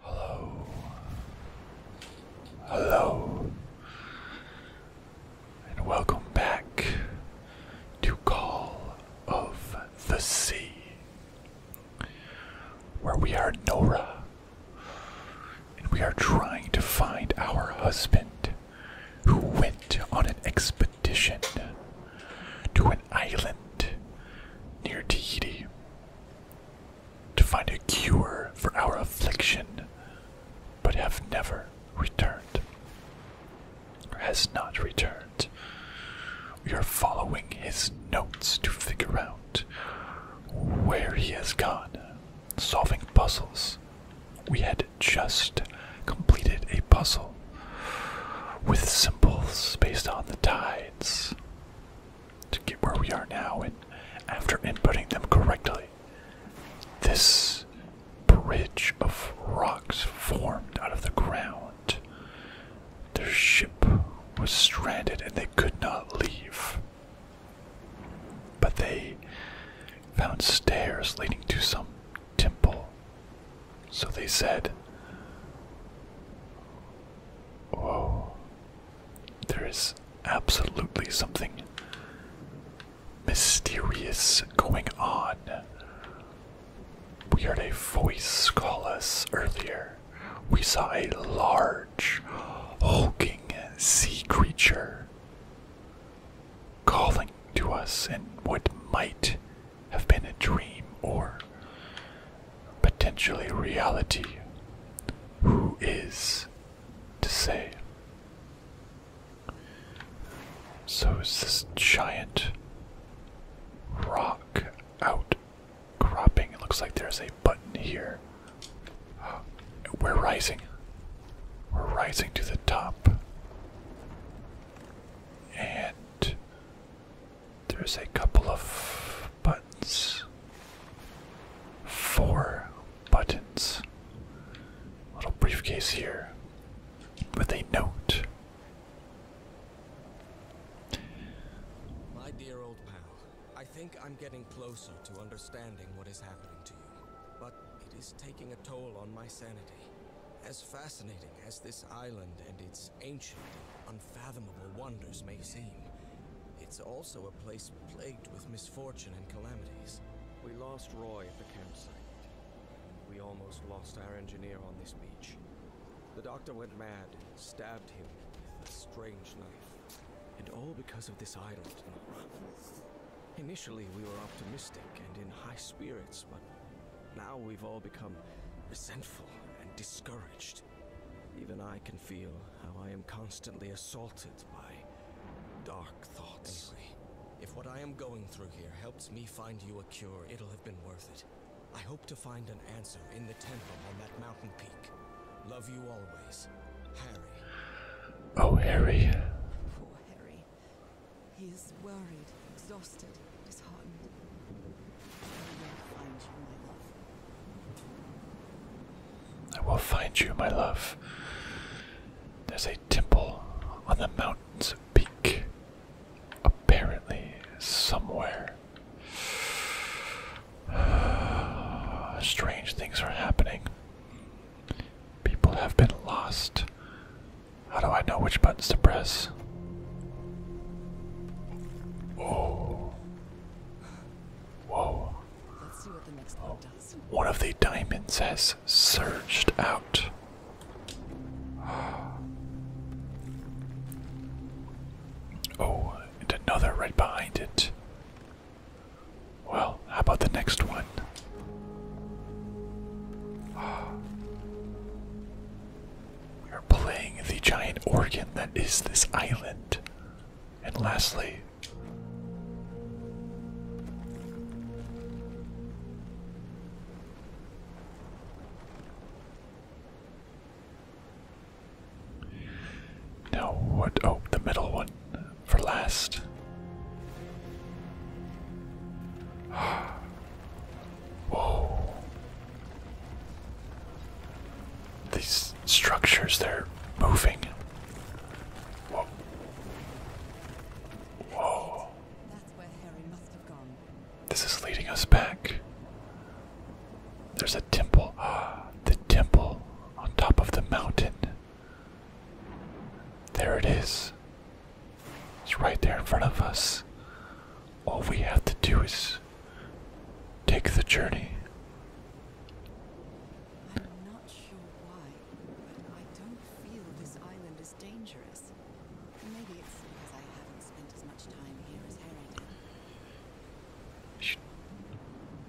Hello. Hello. And welcome back to Call of the Sea, where we are Nora and we are trying to find our husband who went on an expedition to an island near Tahiti to find a cure for our affliction, but have never returned. has not returned. We are following his notes to figure out where he has gone, solving puzzles. We had just completed a puzzle with symbols based on the tides to get where we are now. And after inputting them correctly, this bridge of rocks formed out of the ground. Their ship was stranded and they could not leave. But they found stairs leading to some temple so they said, Whoa, there is absolutely something mysterious going on. We heard a voice call us earlier. We saw a large, hulking sea creature calling to us in what might have been a dream or potentially reality. Who is to say? So is this giant rock out cropping? It looks like there's a button here. Uh, we're rising. We're rising to the top. And there's a couple of buttons. Four buttons. Little briefcase here with a note. My dear old pal, I think I'm getting closer to understanding what is happening to you, but it is taking a toll on my sanity. As fascinating as this island and its ancient, unfathomable wonders may seem, it's also a place plagued with misfortune and calamities. We lost Roy at the campsite. We almost lost our engineer on this beach. The doctor went mad, stabbed him with a strange knife. And all because of this island, Initially, we were optimistic and in high spirits, but now we've all become resentful and discouraged. Even I can feel how I am constantly assaulted by dark thoughts. if what I am going through here helps me find you a cure, it'll have been worth it. I hope to find an answer in the temple on that mountain peak. Love you always, Harry. Oh, Harry. Poor Harry. He is worried, exhausted, disheartened. I will find you, my love. There's a temple on the mountain's peak. Apparently, somewhere. Strange things are happening. People have been lost. How do I know which buttons to press? Whoa. Whoa. one One of the diamonds has surged out. Oh, and another right behind it. Well, how about the next one? We are playing the giant organ that is this island. And lastly, now what? Oh, the middle one for last. Ah. Whoa. These structures, they're moving. Whoa. This is leading us back. There's a temple. the temple on top of the mountain. There it is. It's right there in front of us. All we have to do is take the journey. I'm not sure why, but I don't feel this island is dangerous. Maybe it's because I haven't spent as much time here as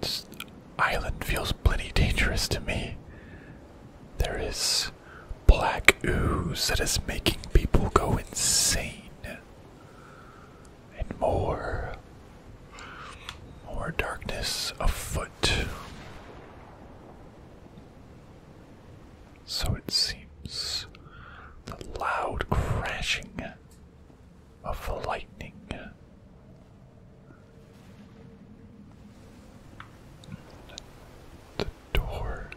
Harrington. This island feels plenty dangerous to me. There is black ooze that is making people go insane. And more. More darkness afoot. So it seems the loud crashing of the lightning. The door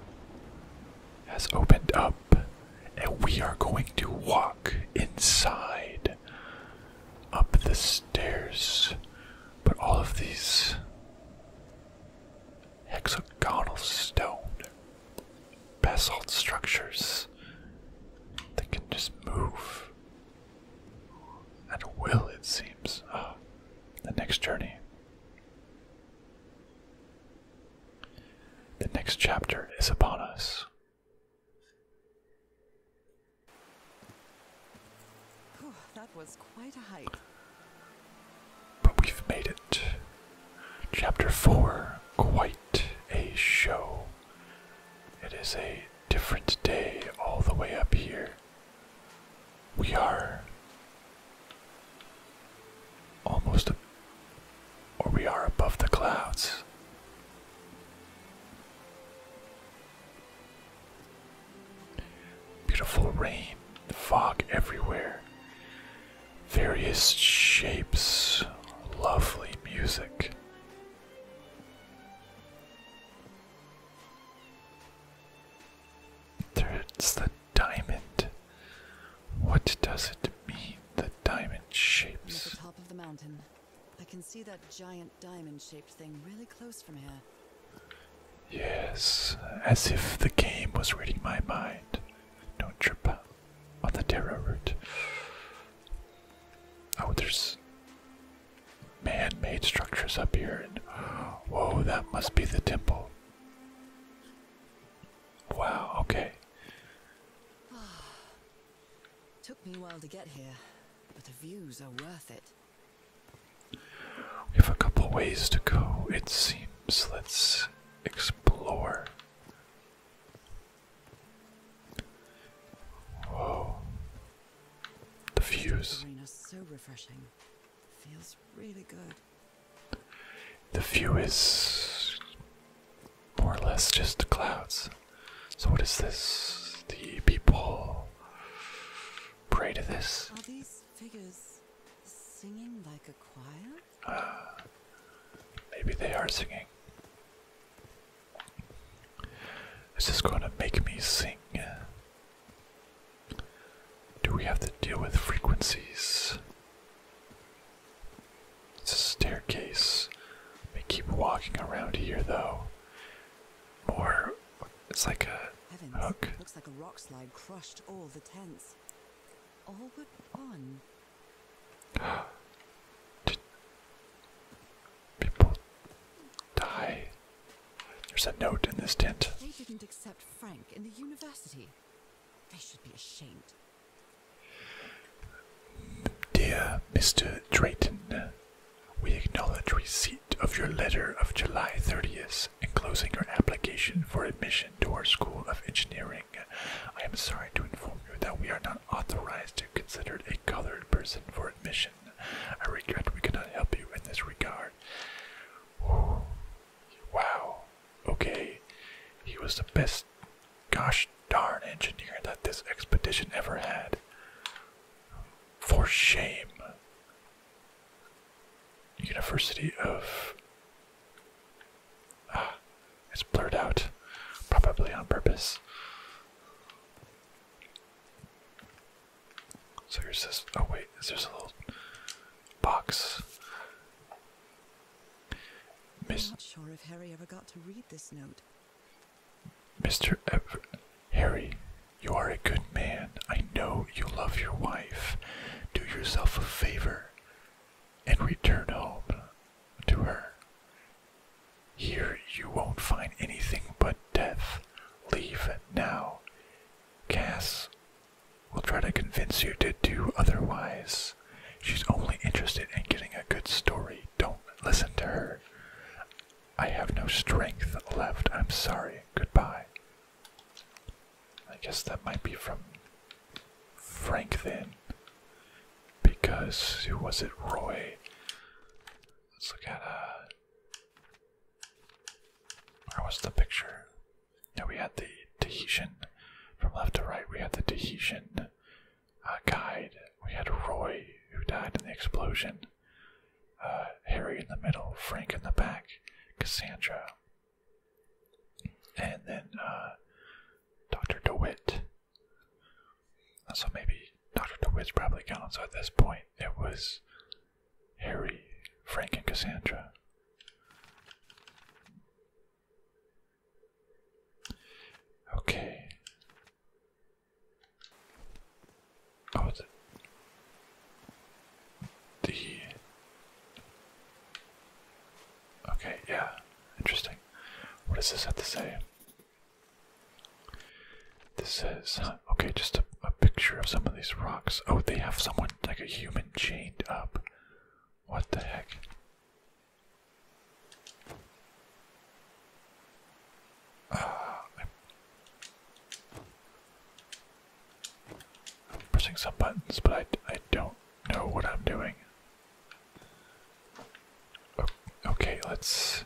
has opened up, and we are going to walk inside up the stairs. But all of these hexagonal stone basalt structures that can just move at will, it seems. Ah, the next journey. The next chapter is upon us. But we've made it. Chapter 4 Quite a show. It is a different day all the way up here. We are almost, or we are above the clouds. Beautiful rain, fog everywhere, various shapes, lovely music. It's the diamond. What does it mean, the diamond shapes? I can see that giant diamond shaped thing really close from here. Yes, as if the game was reading my mind. Don't trip on the Terra route. Oh, there's man made structures up here, and whoa, that must be the temple. Wow, okay. Took me a while to get here, but the views are worth it. We have a couple ways to go, it seems. Let's explore. Whoa. The views. so refreshing. Feels really good. The view is more or less just the clouds. So, what is this? The people pray to this? Are these figures singing like a choir? Ah, maybe they are singing. Is this going to make me sing? Do we have to deal with frequencies? It's a staircase. We keep walking around here though. Or it's like a Heavens, hook. Looks like a rock slide crushed all the tents. people die? There's a note in this tent. They should be ashamed. Dear Mr. Drayton, we acknowledge receipt of your letter of July 30th enclosing your application for admission to our School of Engineering. I am sorry to inform you that we are not authorized to consider a colored person for admission. I regret we cannot help you in this regard. Wow. Okay. He was the best gosh darn engineer that this expedition ever had. For shame. University of. Ah, it's blurred out. Probably on purpose. So here's this. Oh, wait, is there's a little box. Mis Mr. Ever Harry, you are a good man. I know you love your wife. Do yourself a favor and return home to her. Here you won't find anything but death. Leave now. Cass we will try to convince you to do otherwise. She's only interested in getting a good story. Don't listen to her. I have no strength left. I'm sorry. Goodbye. I guess that might be from Frank then. Because who was it? Roy. Let's look at uh where was the picture? Now we had the Tahitian from left to right. We had the Tahitian uh, guide. We had Roy who died in the explosion. Uh, Harry in the middle, Frank in the back, Cassandra, and then uh, Doctor DeWitt. So maybe Doctor DeWitt's probably gone. at this point, it was Harry, Frank, and Cassandra. Okay. Oh, the. Okay, yeah. Interesting. What does this have to say? This says, okay, just a a picture of some of these rocks. Oh, they have someone like a human chained up. What the heck? Uh, I'm pressing some buttons, but I, I don't know what I'm doing. Okay, let's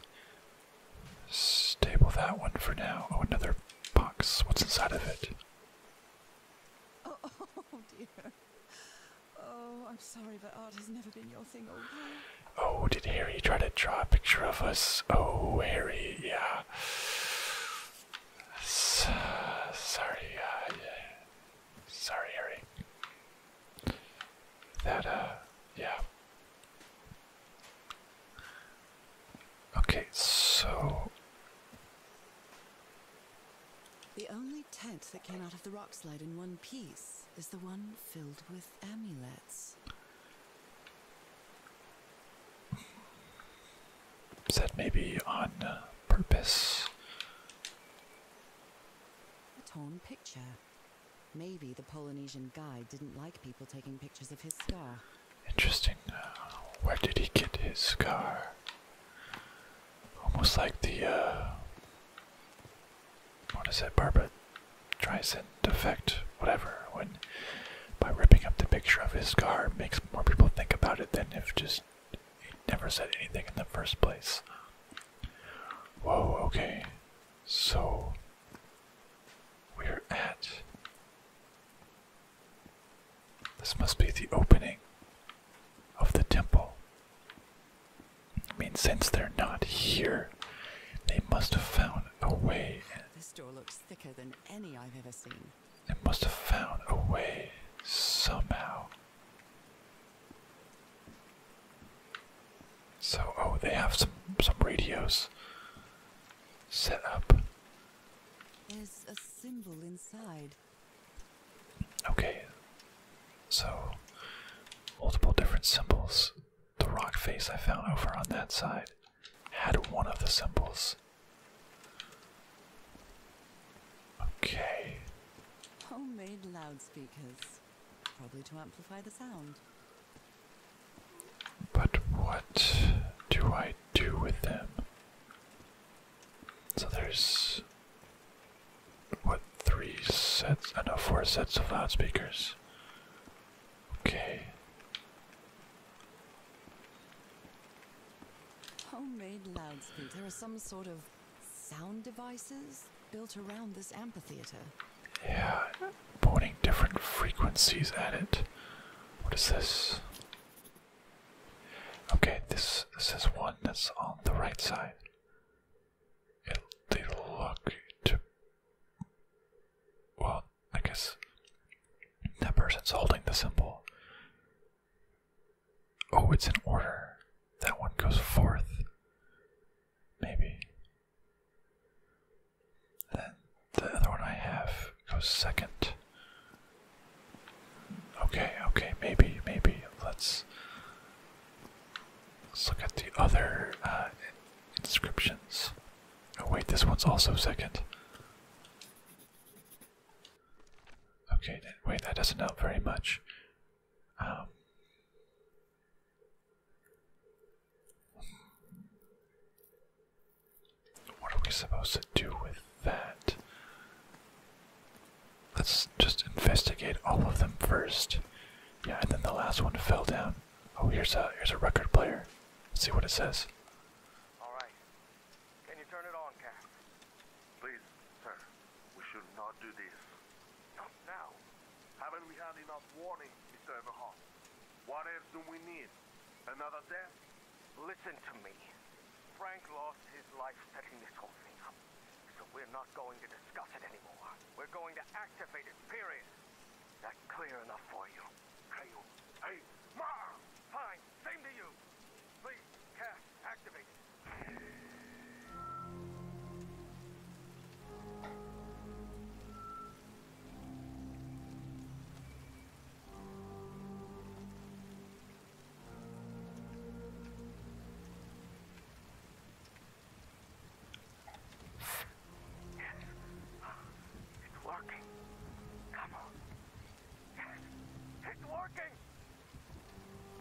stable that one for now. Oh, another box. What's inside of it? Oh, oh dear. Oh, I'm sorry, but art has never been your thing, old oh, oh, did Harry try to draw a picture of us? Oh, Harry, yeah. sorry, uh, yeah. sorry, Harry. That, uh, yeah. Okay, so. The only tent that came out of the rock slide in one piece is the one filled with amulets. That may be on uh, purpose? A torn picture. Maybe the Polynesian guide didn't like people taking pictures of his scar. Interesting. Uh, where did he get his scar? Almost like the, uh, what is it, Barbara Streisand defect, whatever, when by ripping up the picture of his scar makes more people think about it than if just he never said anything in the first place. Whoa, okay. So, we're at this must be the opening of the temple. I mean, since they're not here, they must have found a way. This door looks thicker than any I've ever seen. They must have found a way somehow. So, oh, they have some some radios set up. There's a symbol inside. Okay, so multiple different symbols. The rock face I found over on that side had one of the symbols. Okay. Homemade loudspeakers. Probably to amplify the sound. But what do I do with them? So there's what three sets? I uh, know four sets of loudspeakers. Okay. Homemade loudspeakers. There are some sort of sound devices built around this amphitheater. Yeah, pointing different frequencies at it. What is this? Okay, this this is one that's on the right side. It they look to well, I guess that person's holding the symbol. Oh, it's in order. That one goes fourth. Maybe. Then the other one I have goes second. Okay, okay, maybe, maybe let's let's look at the other uh, inscriptions. Oh wait, this one's also second. Okay, wait, that doesn't help very much. Um, what are we supposed to do with that? Let's just investigate all of them first. Yeah, and then the last one fell down. Oh, here's a here's a record player. see what it says. All right. Can you turn it on, Cass? Please, sir. We should not do this. Not now. Haven't we had enough warning, Mr. Everhart? What else do we need? Another death? Listen to me. Frank lost his life setting this whole thing up. So we're not going to discuss it anymore. We're going to activate it, period. That clear enough for you? Hey, hey, Ma! Fine, same to you. Please, cast, activate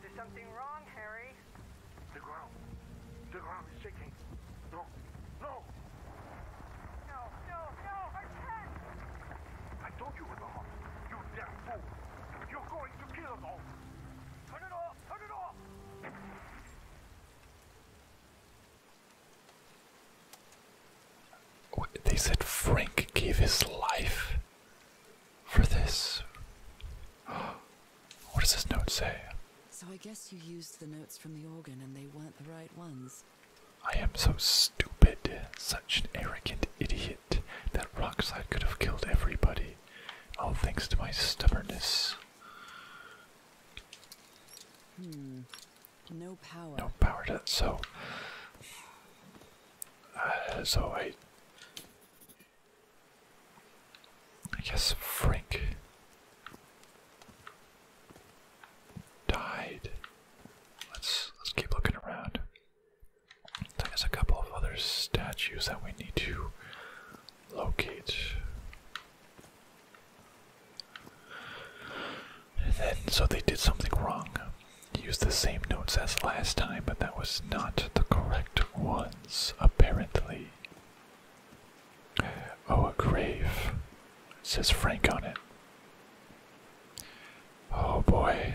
there's something wrong, Harry. The ground. The ground is shaking. No. No! I told you it off. You are going to kill us Turn it off! Turn it off! they said Frank gave his life for this. What does this note say? So I guess you used the notes from the organ and they weren't the right ones. I am so stupid, such an arrogant idiot. That rockslide could have killed everybody, all thanks to my stubbornness. Hmm. No power. No power that. So, uh, so I, I guess Frank died. Let's let's keep looking around. There's a couple of other statues that we need to locate. so they did something wrong. Use the same notes as last time, but that was not the correct ones, apparently. Oh, a grave. says Frank on it. Oh boy.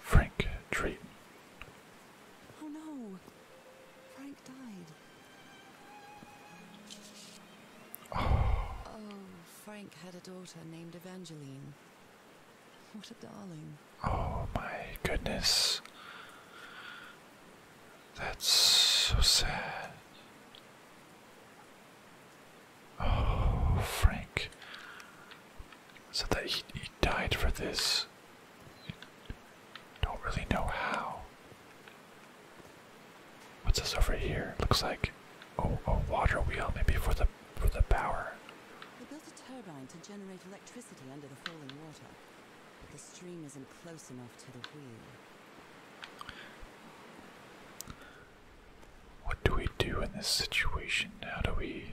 Frank Treat. Oh no. Frank died. Oh. oh. Frank had a daughter named Evangeline. What a darling. Oh my goodness. That's so sad. Oh, Frank. So that he, he died for this. Don't really know how. What's this over here? Looks like a water wheel, maybe for the for the power. They built a turbine to generate electricity under the falling water, but the stream isn't close enough to the wheel. What do we do in this situation? How do we.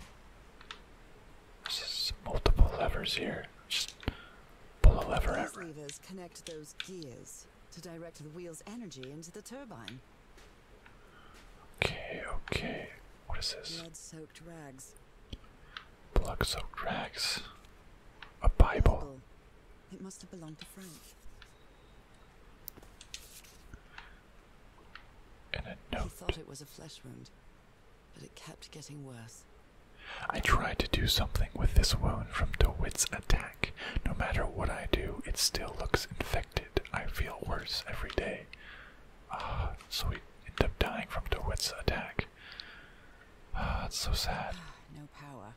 There's just multiple levers here. Just pull a lever These every. levers connect those gears to direct the wheel's energy into the turbine. Okay, okay. What is this? Blood-soaked rags. Blood-soaked rags. A Bible. It must have belonged to Frank. He thought it was a flesh wound, but it kept getting worse. I tried to do something with this wound from DeWitt's attack. No matter what I do, it still looks infected. I feel worse every day. Ah, so we end up dying from DeWitt's attack. Ah, it's so sad. Ah, no power.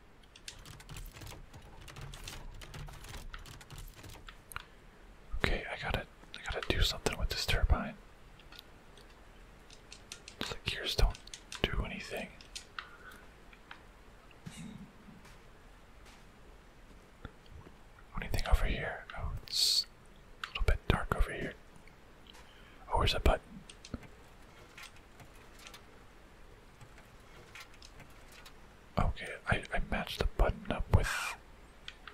Okay, I gotta I gotta do something with this turbine. The gears don't do anything. Anything over here? Oh, it's a little bit dark over here. Oh, where's that button? Okay, I, I matched the button up with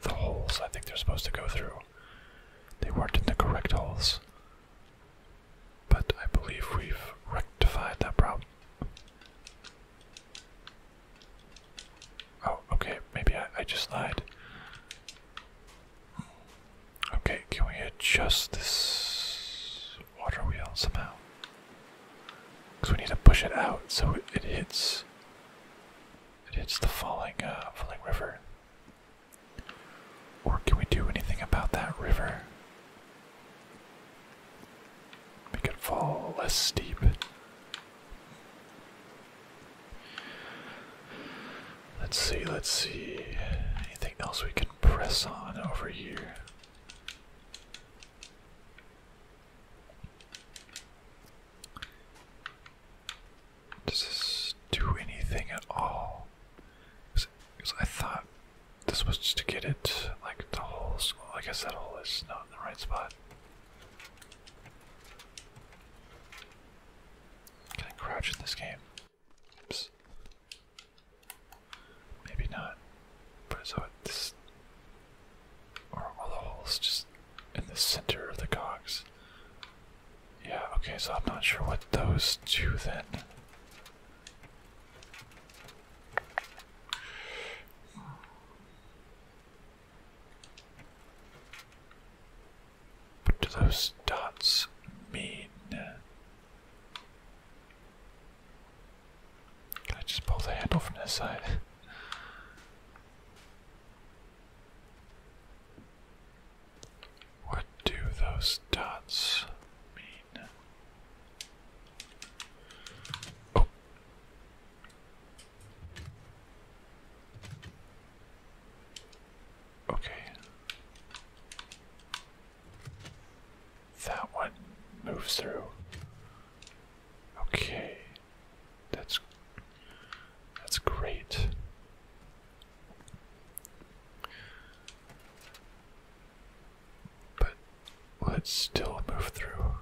the holes I think they're supposed to go through. They weren't in the correct holes. But I believe we've rectified that problem. Oh, okay, maybe I, I just lied. Okay, can we adjust this? water wheel somehow. Because we need to push it out so it, hits. It hits the falling, uh, falling river. Or can we do anything about that river? Make it fall less steep. Let's see, let's see. Anything else we can press on over here? Does this do anything at all? Because I thought this was just to get it, like the whole school. I said, that hole is not in the right spot. Can I crouch in this game? Oops. Maybe not. But so it's or all the holes just in the center of the cogs. Yeah, okay, so I'm not sure what those do then. What do those dots mean? Can I just pull the handle from this side? what do those dots mean? Oh. Okay. That one moves through. Okay. That's that's great. But let's still move through.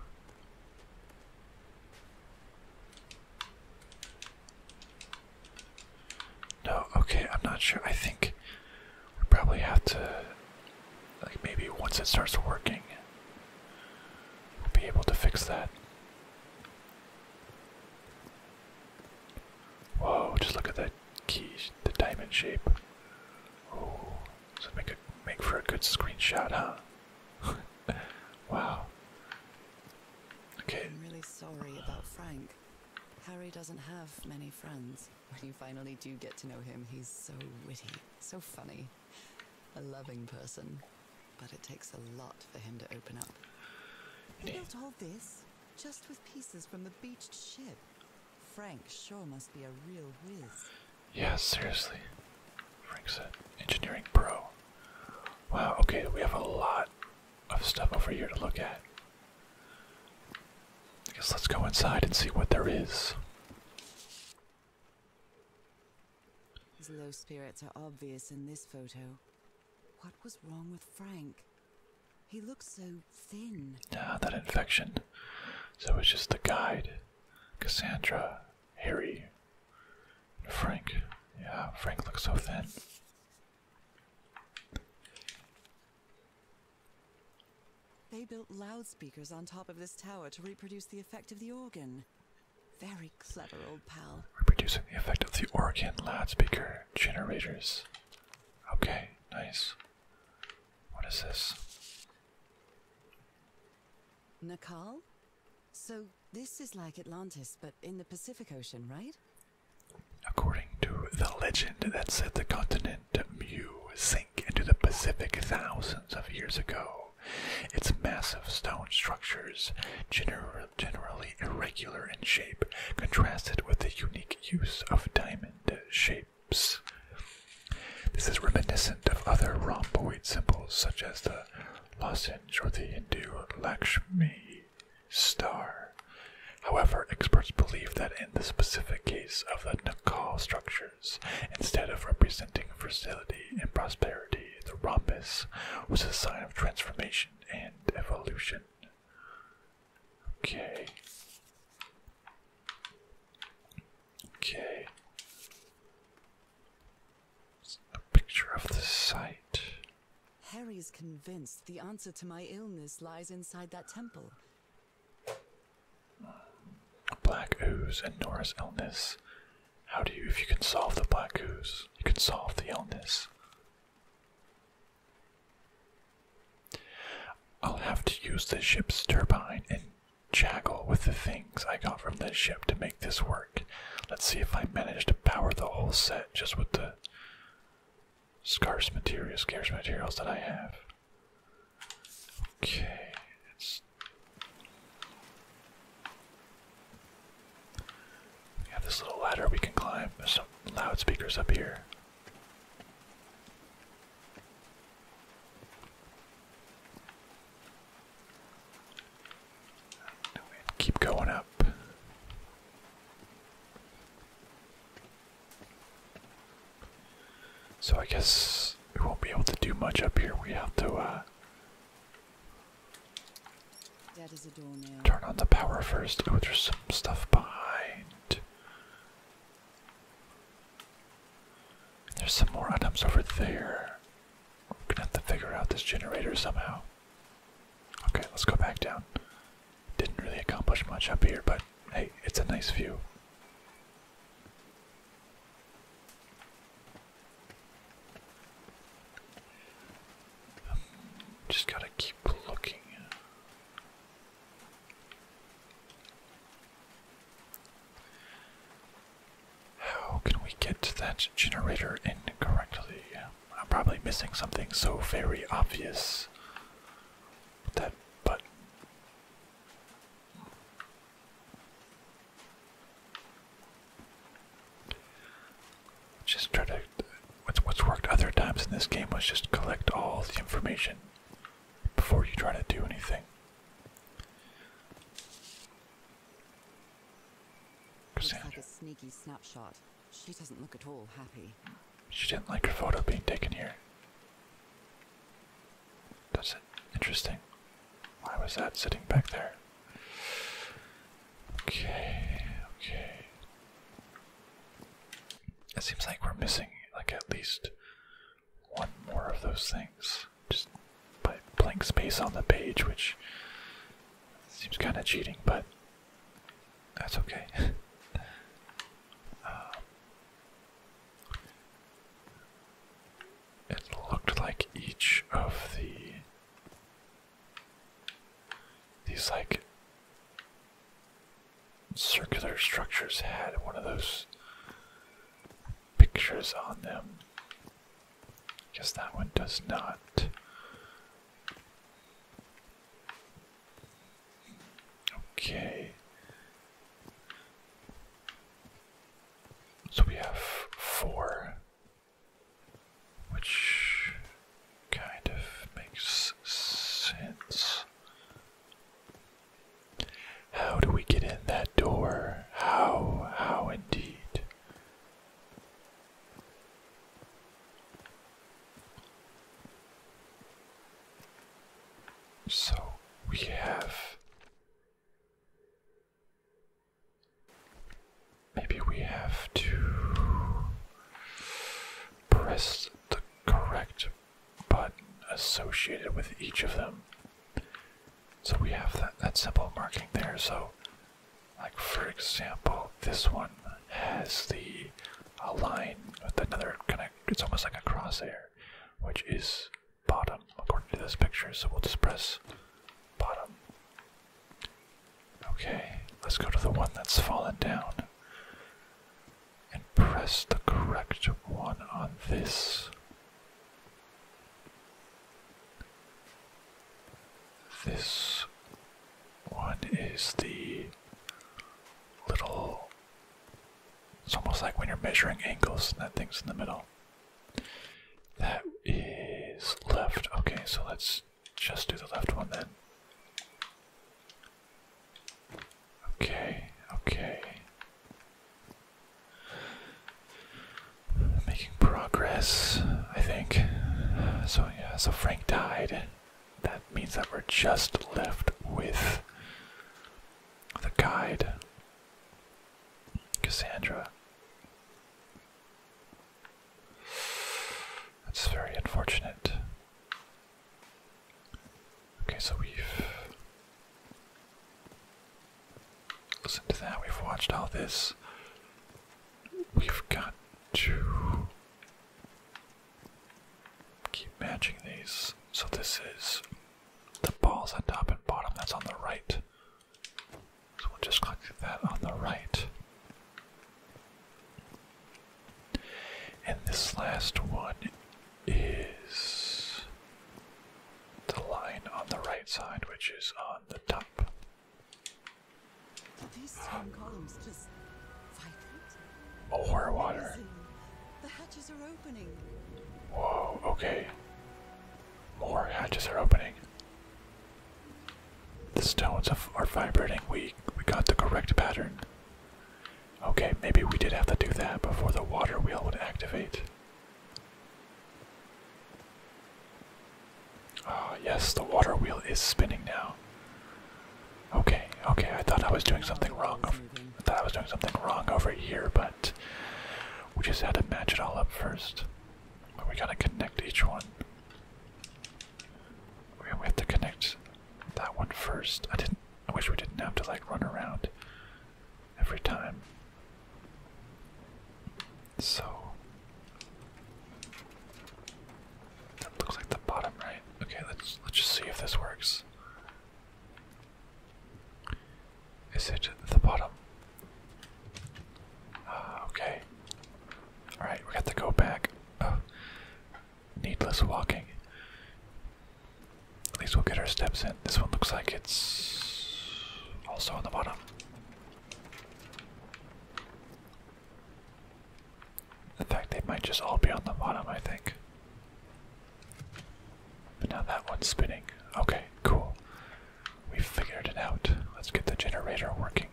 No, okay, I'm not sure. I think we probably have to, like, maybe once it starts working, we'll be able to fix that. Whoa, just look at that key, the diamond shape. Oh, so make it make for a good screenshot, huh? wow. Okay. I'm really sorry about Frank. Harry doesn't have many friends. When you finally do get to know him, he's so witty, so funny, a loving person. But it takes a lot for him to open up. He built all this just with pieces from the beached ship. Frank sure must be a real whiz. Yeah, seriously. Frank said, engineering pro. Wow, okay, we have a lot of stuff over here to look at. I guess let's go inside and see what there is. His low spirits are obvious in this photo. What was wrong with Frank? He looks so thin. Ah, that infection. So it's just the guide. Cassandra, Harry, Frank. Yeah, Frank looks so thin. They built loudspeakers on top of this tower to reproduce the effect of the organ. Very clever, old pal. Reproducing the effect of the organ loudspeaker generators. Okay, nice. What is this? Nakal? So this is like Atlantis, but in the Pacific Ocean, right? According to the legend that said the continent giant Mu sink into the Pacific thousands of years ago. Its massive stone structures, generally irregular in shape, contrasted with the unique use of diamond shapes. This is reminiscent of other rhomboid symbols such as the lozenge or the Hindu Lakshmi star. However, experts believe that in the specific case of the Nakal structure, years. Instead of representing fertility and prosperity, the rhombus was a sign of transformation and evolution. Okay. Okay. A picture of the site. Harry's convinced the answer to my illness lies inside that temple. Black ooze and Nora's illness. How do you, if you can solve the black ooze, you can solve the illness? I'll have to use the ship's turbine and juggle with the things I got from the ship to make this work. Let's see if I manage to power the whole set just with the scarce materials, scarce materials that I have. Okay, it's we have this little ladder we can climb. There's some loudspeakers up here. Keep going up. So I guess we won't be able to do much up here. We have to uh, turn on the power first. Oh, there's some stuff behind. There's some more items over there. We're gonna have to figure out this generator somehow. Okay, let's go back down. Didn't really accomplish much up here, but hey, it's a nice view. Just gotta keep looking. How can we get that generator in I'm probably missing something so very obvious. That button. Just try to. What's, what's worked other times in this game was just collect all the information before you try to do anything. Looks like a sneaky snapshot. She doesn't look at all happy. She didn't like her photo being taken here. That's it. Interesting. Why was that sitting back there? Okay, okay. It seems like we're missing like at least one more of those things. Just by blank space on the page, which seems kind of cheating, but that's okay. Um, it looked like each of the these like circular structures had one of those pictures on them. I guess that one does not. Okay. So we have four, which kind of makes sense. How do we get in that door? How, how indeed? So we have. Maybe we have to press the correct button associated with each of them. So we have that, that simple marking there. So, like for example, this one has the a line with another kind of, it's almost like a crosshair which is bottom according to this picture. So we'll just press bottom. Okay, let's go to the one that's fallen down and press the correct one on this. This one is the little it's almost like when you're measuring angles and that thing's in the middle. That is left. Okay, so let's just do the left one then. Okay, okay. Making progress, I think. So, yeah, so Frank died. That means that we're just left with the guide. Cassandra. That's very unfortunate. Okay, so we've listened to that, we've watched all this. We've got to keep matching these. So this is the balls on top and bottom, that's on the right. So we'll just click that on the right. And this last one is the line on the right side, which is on the top. More water. Listen, the hatches are opening. Whoa, okay. More hatches are opening. The stones are vibrating. We we got the correct pattern. Okay, maybe we did have to do that before the water wheel would activate. Ah, oh, yes, the water wheel is spinning now. Okay, okay, I thought I was doing something wrong I thought I was doing something wrong over here, but we just had to match it all up first. We going to connect each one. We have to connect that one first. I didn't. I wish we didn't have to like run around every time. So that looks like the bottom right. Okay, let's let's just see if this works. Is it at the bottom? Uh, okay. Alright, we got to go back. Oh. Needless walking. At least we'll get our steps in. This one looks like it's also on the bottom. In fact, they might just all be on the bottom, I think. But now that one's spinning. Okay, cool. We figured it out. Let's get the generator working.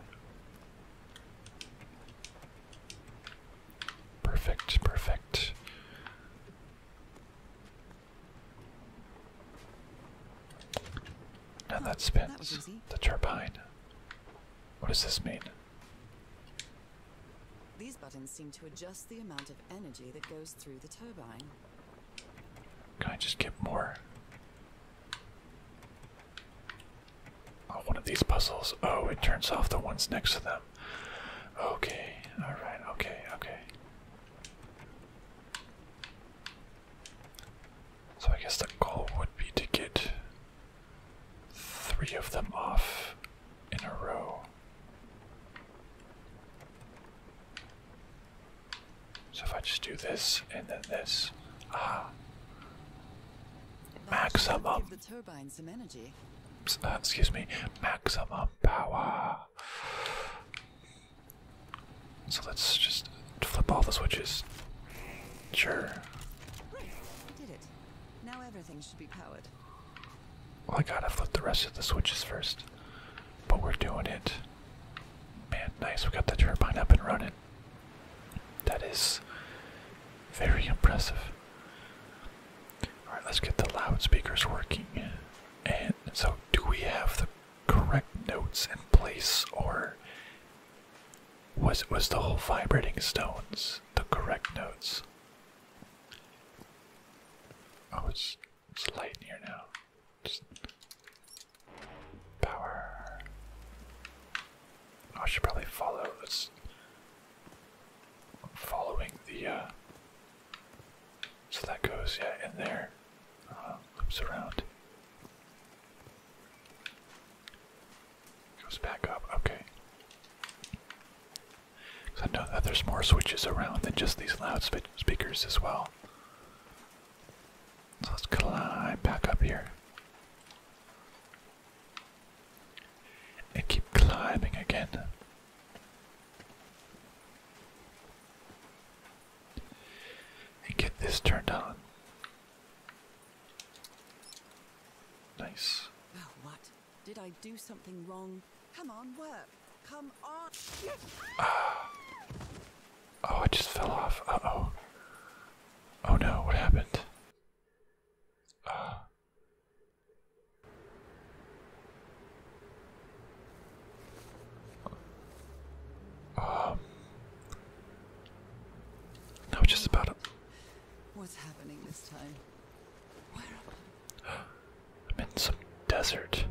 Perfect, perfect. Now that spins the turbine. What does this mean? These buttons seem to adjust the amount of energy that goes through the turbine. Can I just get more? Oh, one of these puzzles. Oh, it turns off the ones next to them. Okay, alright, okay, okay. So I guess the goal would be to get three of them off in a row. So if I just do this and then this, ah, maximum. The turbine some energy. Uh, excuse me, maximum power. So let's just flip all the switches. Sure. Now everything should be powered. I gotta flip the rest of the switches first. But we're doing it. Man, nice. We got the turbine up and running. That is very impressive. Alright, let's get the loudspeakers working. And so, do we have the correct notes in place, or was was the whole vibrating stones the correct notes? Oh, it's, it's light in here now. power. Oh, I should probably follow. Let's following the. Uh, so that goes yeah in there. Uh, loops around. Goes back up. Okay. Because I know that there's more switches around than just these loudspeakers as well. So let's climb back up here. And keep climbing again. And get this turned on. Nice. Did I do something wrong? Come on, work. Come on. oh, I just fell off. Uh oh. Oh no, what happened? Uh. No, just about What's happening this time? I'm in some desert.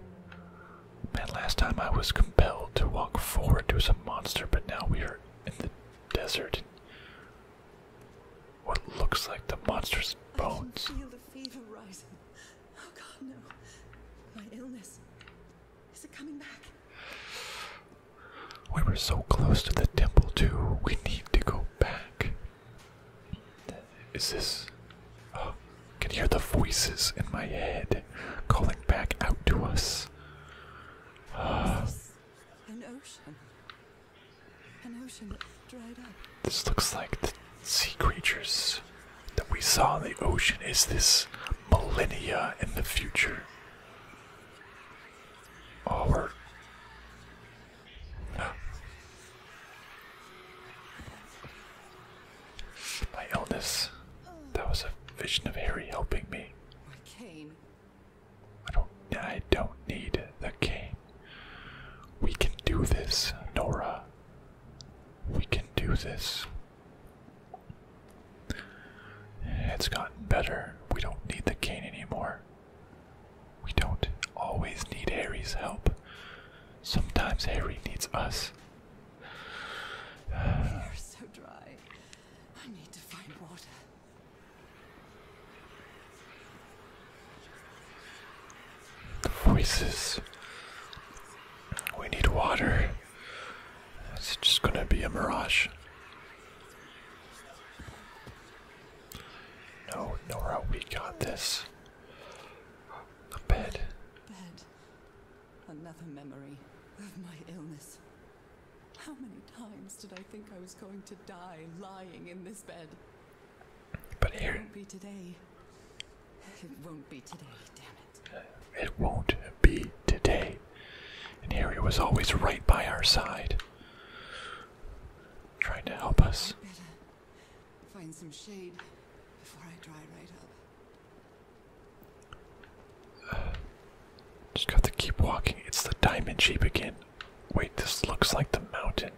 And last time I was compelled to walk forward to some monster, but now we are in the desert. What looks like the monster's bones. I can feel the fever rising. Oh God, no! My illness is it coming back? We were so close to the temple too. We need to go back. Is this. Oh, uh, I can hear the voices in my head calling back out to us. Uh, an ocean. An ocean dried up. This looks like the sea creatures that we saw in the ocean. Is this millennia in the future? Oh, my illness. That was a vision of Harry helping me. My cane. I don't. I don't need the cane. We can do this, Nora. We can do this. It's gotten better. We don't need the cane anymore. We don't always need Harry's help. Sometimes Harry needs us. we are so dry. I need to find water. The voices. We need water. It's just gonna be a mirage. No, Nora, we got this. A bed. Bed. Another memory of my illness. How many times did I think I was going to die lying in this bed? But here. It won't be today. It won't be today, damn it. It won't be today. And Harry was always right by our side, trying to help us. Find some shade before I dry right up. just got to keep walking. It's the diamond shape again. Wait, this looks like the mountain.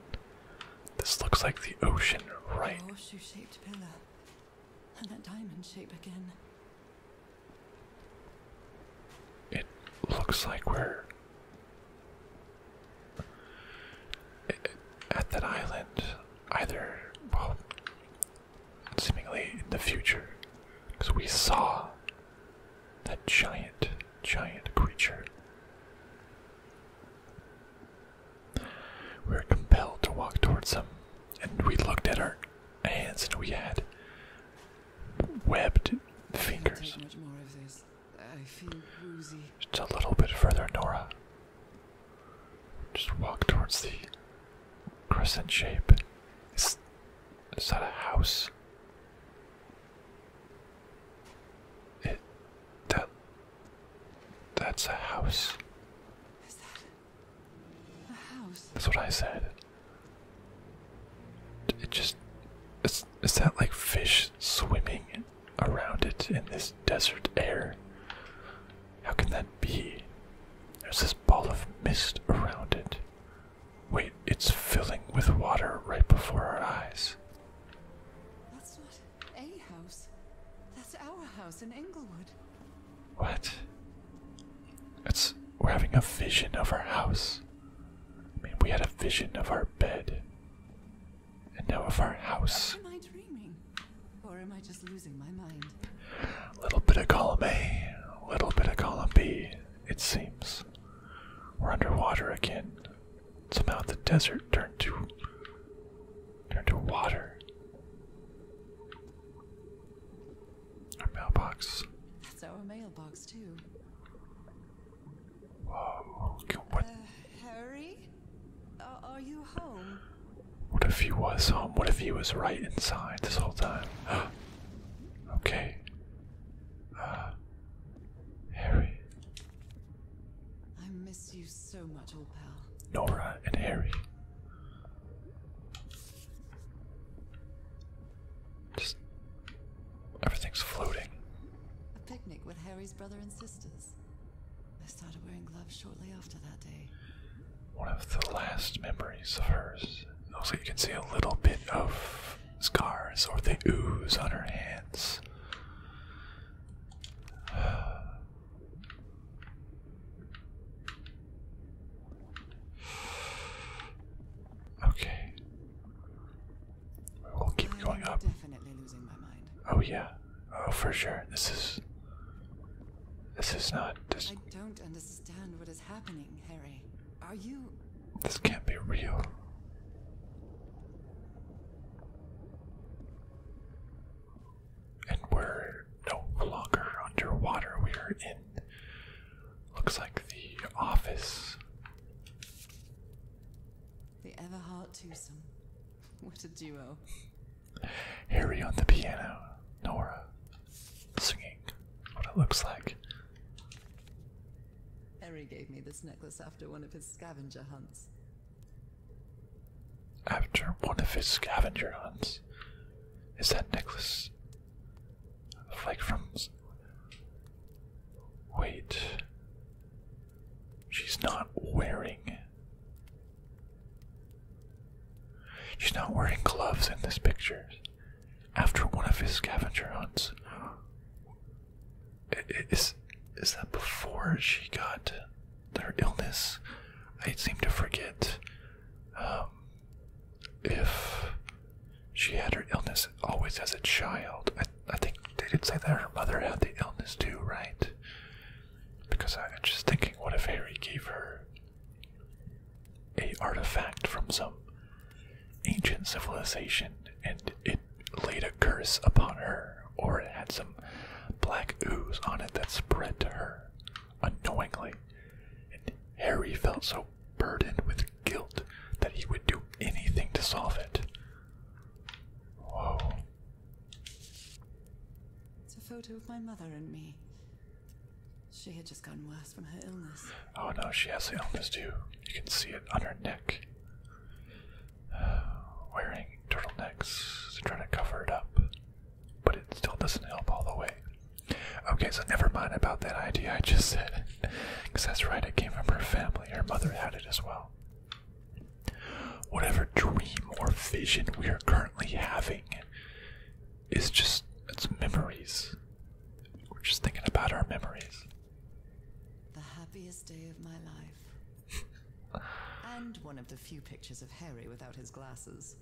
This looks like the ocean, right? that diamond shape again. It looks like we're at that island, either, well, seemingly in the future, because we saw that giant, giant creature. We were compelled to walk towards him, and we looked at our hands, and we had webbed fingers. I feel woozy. Just a little bit further, Nora. Just walk towards the crescent shape. Is, is that a house? It that that's a house. Is that a house? That's what I said. It just is is that like fish swimming around it in this desert air. How can that be? There's this ball of mist around it. Wait, it's filling with water right before our eyes. That's not a house. That's our house in Englewood. What? That's we're having a vision of our house. I mean, we had a vision of our bed and now of our house. Am I dreaming? Or am I just losing my mind? little bit of column A, little bit of column B, it seems. We're underwater again. Somehow the desert turned to turned to water. Our mailbox. That's our mailbox too. Uh, Harry, are you home? What if he was home? What if he was right inside this whole time? okay. Uh, Harry. I miss you so much, old pal. Nora and Harry. Just everything's floating. A picnic with Harry brother and sisters. I started wearing gloves shortly after that day. One of the last memories of hers. Also, you can see a little bit of scars or the ooze on her hands. Okay. We will keep going up. Oh yeah. Oh for sure. This is this is not this I don't understand what is happening, Harry. Are you This can't be real. And we're no longer underwater. We are in looks like the office the Everhart twosome. What a duo. Harry on the piano, Nora singing what it looks like. Harry gave me this necklace after one of his scavenger hunts. After one of his scavenger hunts? Is that necklace like from. Wait. She's not wearing. She's not wearing gloves in this picture. After one of his scavenger hunts. Is, is that before she got her illness? I seem to forget um, if she had her illness always as a child. I think they did say that her mother had the illness too, right? Because I'm just thinking, what if Harry gave her a artifact from some ancient civilization and it laid a curse upon her, or it had some black ooze on it that spread to her unknowingly, and Harry felt so burdened with guilt that he would do anything to solve it. It's a photo of my mother and me. She had just gotten worse from her illness. Oh no, she has the illness too. You can see it on her neck. wearing turtlenecks trying to cover it up, but it still doesn't help all the way. Okay, so never mind about that idea I just said, because that's right, it came from her family. Her mother had it as well. Whatever dream or vision we are currently having is just, memories. We're just thinking about our memories. The happiest day of my life. and one of the few pictures of Harry without his glasses.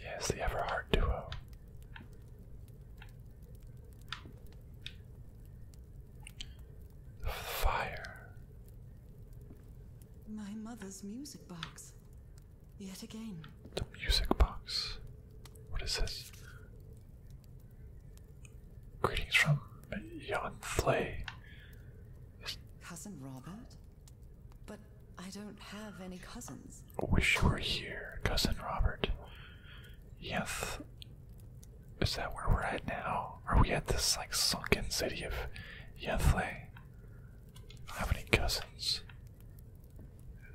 yes, the Everhard duo fire. My mother's music box. Yet again. The music box. What is this? Greetings from Jan Flay. Cousin Robert? But I don't have any cousins. Wish you were here, Cousin Robert. Yeth, Is that where we're at now? Are we at this like sunken city of Yethle? I have any cousins?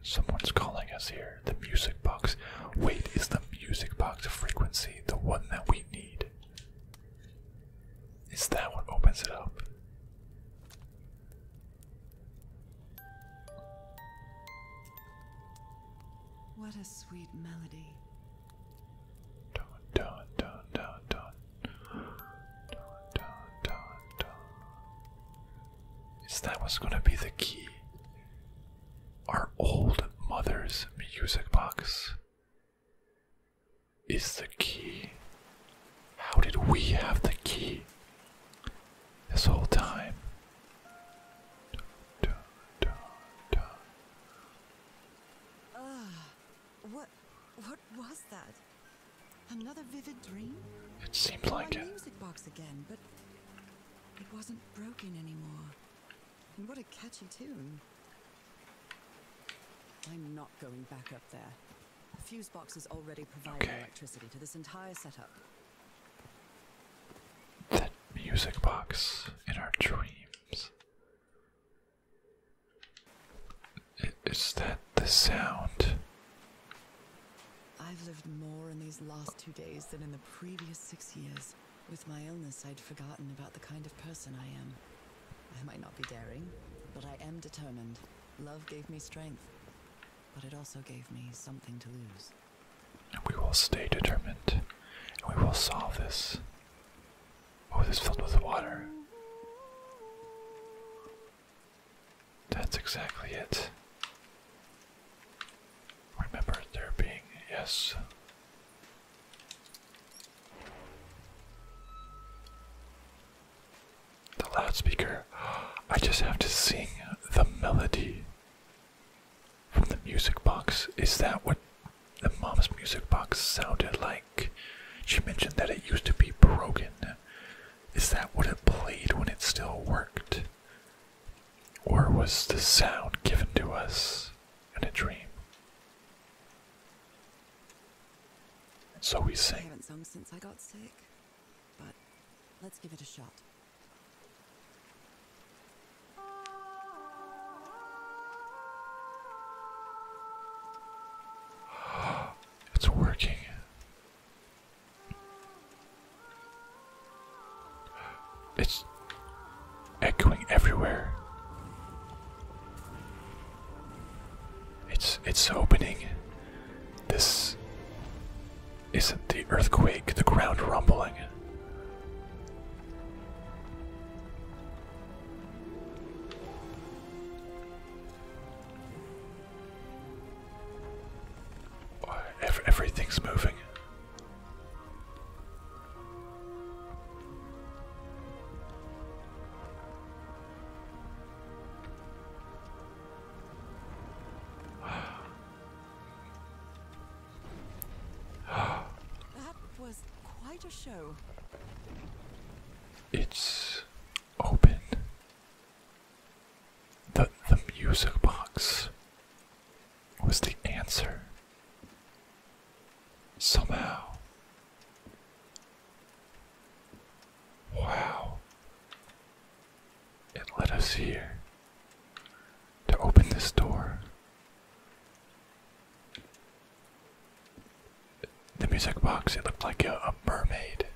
Someone's calling us here. The music box. Wait, is the music box frequency the one that we need? Is that what opens it up? What a sweet melody. Dun dun dun dun dun. Dun dun dun dun. Is that what's gonna be the key? Our old mother's music box is the key. How did we have the key this whole time? Dun, what, what was that? Another vivid dream? It seemed like My music box again, but it wasn't broken anymore. And what a catchy tune. I'm not going back up there. The fuse box is already providing electricity to this entire setup that music box in our dreams. Is that the sound? I've lived more in these last two days than in the previous six years. With my illness, I'd forgotten about the kind of person I am. I might not be daring, but I am determined. Love gave me strength, but it also gave me something to lose. And we will stay determined. And we will solve this. Oh, this filled with water. That's exactly it. Remember there being, yes. The loudspeaker. I just have to sing the melody from the music box. Is that what the mom's music box sounded like? She mentioned that it used to be broken. Is that what it played when it still worked? Or was the sound given to us in a dream? so we sing. I haven't sung since I got sick, but let's give it a shot. It's working. It's echoing everywhere. It's it's opening. This isn't the earthquake the ground rumbling? everything's moving. that was quite a show. It's open. The the music box was the answer. Somehow. Wow. It led us here to open this door. The music box, it looked like a, a mermaid.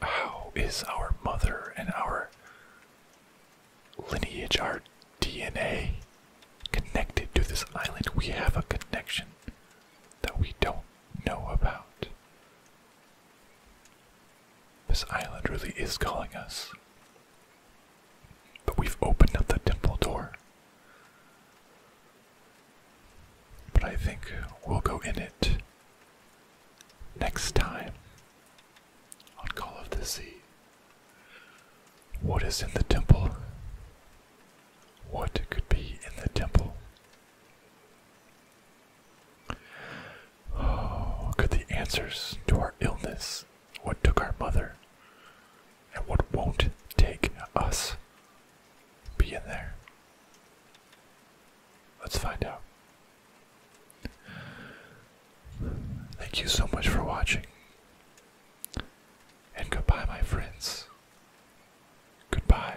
How is our mother and our lineage, our DNA, connected to this island? We have a connection that we don't know about. This island really is calling us. But we've opened up the temple door. But I think we'll go in it next time on Call of the Sea. What is in the temple? What could be in the temple? Oh, could the answers to our illness, what took our mother, and what won't take us, be in there? Let's find out. Thank you so much for watching. And goodbye, my friends. Goodbye.